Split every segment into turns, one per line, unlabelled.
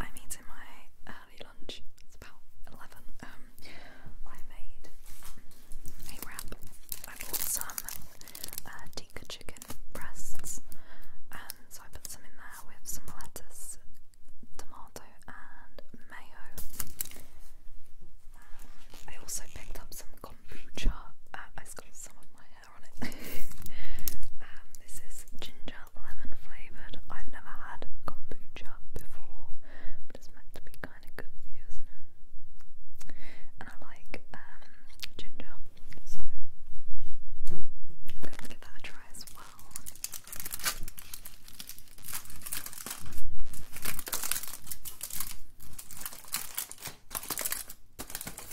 I'm eating my early lunch. It's about eleven. Um, I made a wrap. I bought some uh, tikka chicken breasts, and so I put some in there with some lettuce, tomato, and mayo. I also picked up some kombucha. Uh, I got some of my hair um, this is ginger lemon flavoured. I've never had kombucha before, it's meant to be kind of good you, isn't it? And I like um, ginger, so I'm give that a try as well.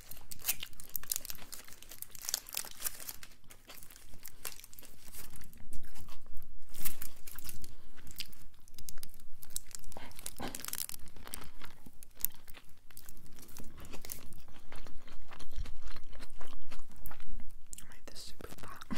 I made this super fat.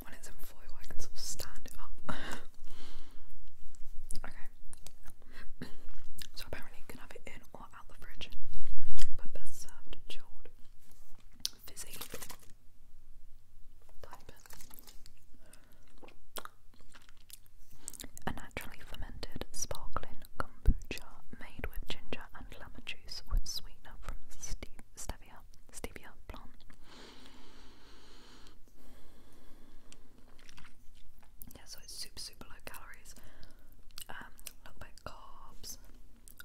When it's in foil, I can sort of stand it up. okay. so apparently you can have it in or out the fridge, but best served chilled. Fizzy. Type A naturally fermented sparkling kombucha made with ginger and lemon juice with sweetener from stevia, stevia plant. Yeah, so it's super, super low calories. Um, not bad carbs.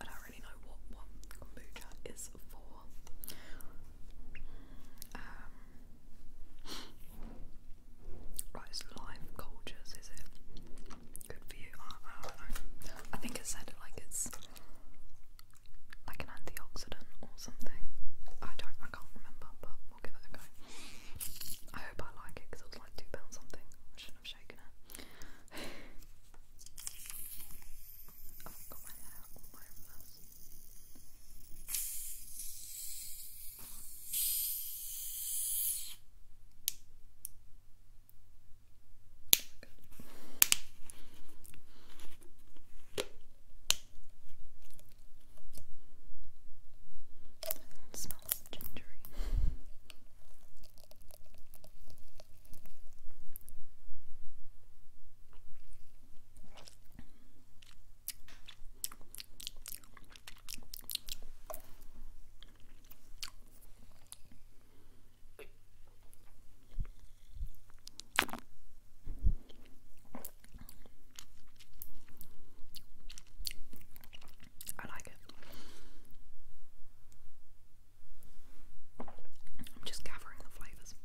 I don't really know what what kombucha is for. Um, right, live cultures, is it? Good for you. I, I I said like it's like an antioxidant or something. I don't, I can't remember, but we'll give it a go. I hope I like it because it was like two pounds something. I shouldn't have shaken it. I've got my hair it smells gingery. I like it. I'm just gathering the flavours.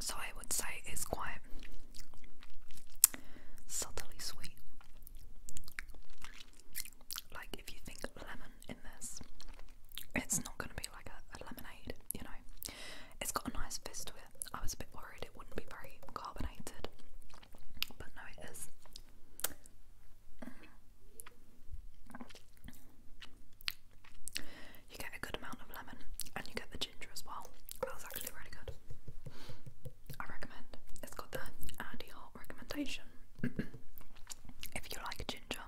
So I would say it's quite subtly sweet. Like, if you think lemon in this, it's not going to be like a, lemonade, you know? It's got a nice fizz to it. I was a bit worried it wouldn't be very carbonated, but no, it is. You get a good amount of lemon and you get the ginger as well. That was actually really good. I recommend. It's got the Andy Hart recommendation. if you like ginger,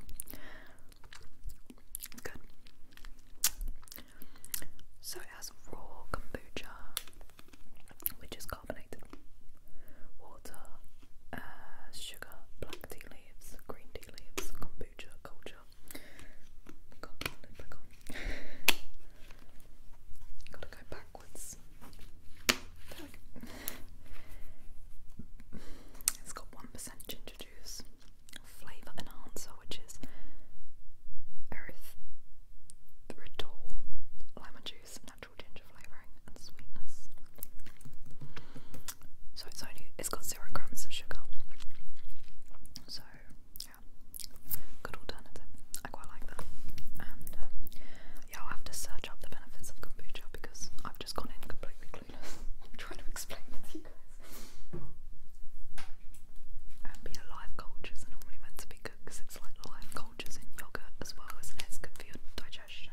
good. So it has raw kombucha, which is carbonated water, uh, sugar, black tea leaves, green tea leaves, kombucha culture. Gotta go backwards. It's got 1% ginger juice, flavour enhancer, which is erythritol, lemon juice, natural ginger flavouring, and sweetness. So it's only it's got zero grams of sugar. So good alternative. I quite like that. Um, yeah, I'll have to search up the benefits of kombucha because I've just gone in completely clueless trying to explain it to you guys. And being live cultures are normally meant to be good because it's like live cultures in yogurt as well, isn't for your digestion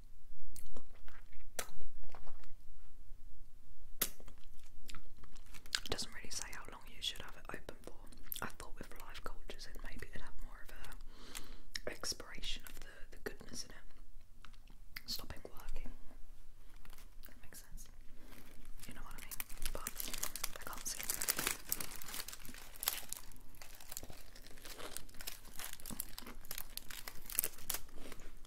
It doesn't really say how long you should have it open for. I thought with live cultures it maybe it'd have more of a expiration of the, the goodness in it. Stopping working. That makes sense. You know what I mean? But I can't see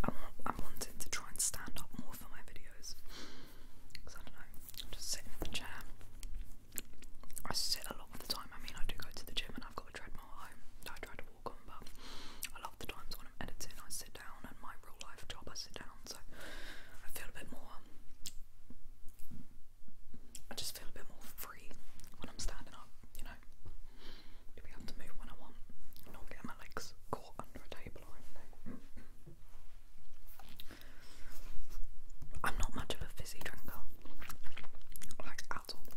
I, I wanted to try and stand up more for my videos just sitting in the chair I sit a lot of the time. I mean, I do go to the gym and I've got a treadmill at home I try to walk on, but a lot the times when I'm editing, I sit down, and my real life job, I sit down, so I feel a bit more. I just feel a bit more free when I'm standing up, you know. To be able to move when I want, not get my legs caught under a table or anything. I'm not much of a fizzy drinker, like at all.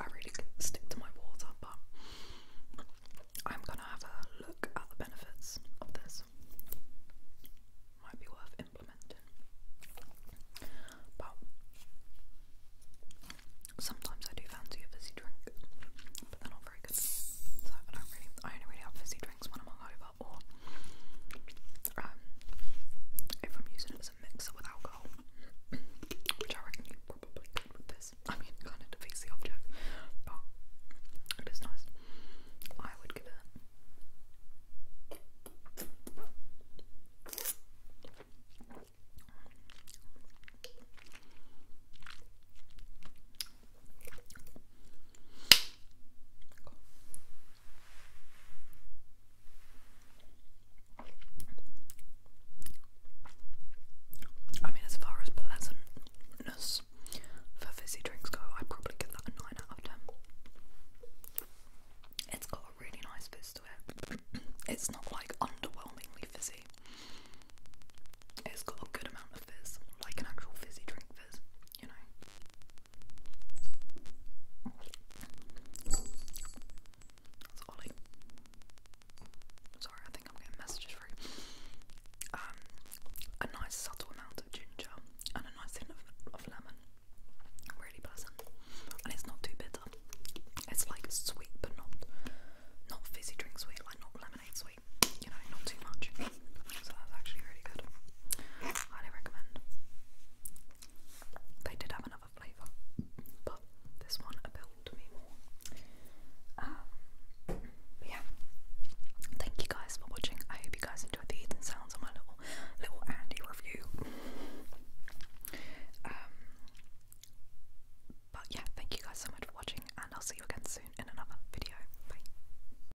I really stick to my water, but I'm gonna have a look at the benefits of this. Might be worth implementing. But sometimes I do fancy a fizzy drink, but they're not very good. So I only really have fizzy drinks when I'm hungover or um, if I'm using it as a mixer with alcohol, which I reckon you probably could with this. I mean, kind of defeats the object, but it is nice. I would give it. I mean, as far as pleasantness for fizzy drinks go, I'd probably give that a 9 out of 10. It's got a really nice fizz to it. it's not like underwhelmingly fizzy. It's got a good amount of fizz, like an actual fizzy drink fizz, you know. That's Ollie. Sorry, I think I'm getting messages through. Um, a nice subtle amount of ginger and a nice hint of lemon. Really pleasant, and it's not too bitter. It's like sweet, but not not fizzy drink sweet, like not lemonade sweet you know, not too much. So that's actually really good. Highly recommend. They did have another flavour, but this one appealed to me more. Um, yeah. Thank you guys for watching. I hope you guys enjoyed the eating sounds on my little little Andy review. Um but yeah, thank you guys so much for watching and I'll see you again soon in another video. Bye.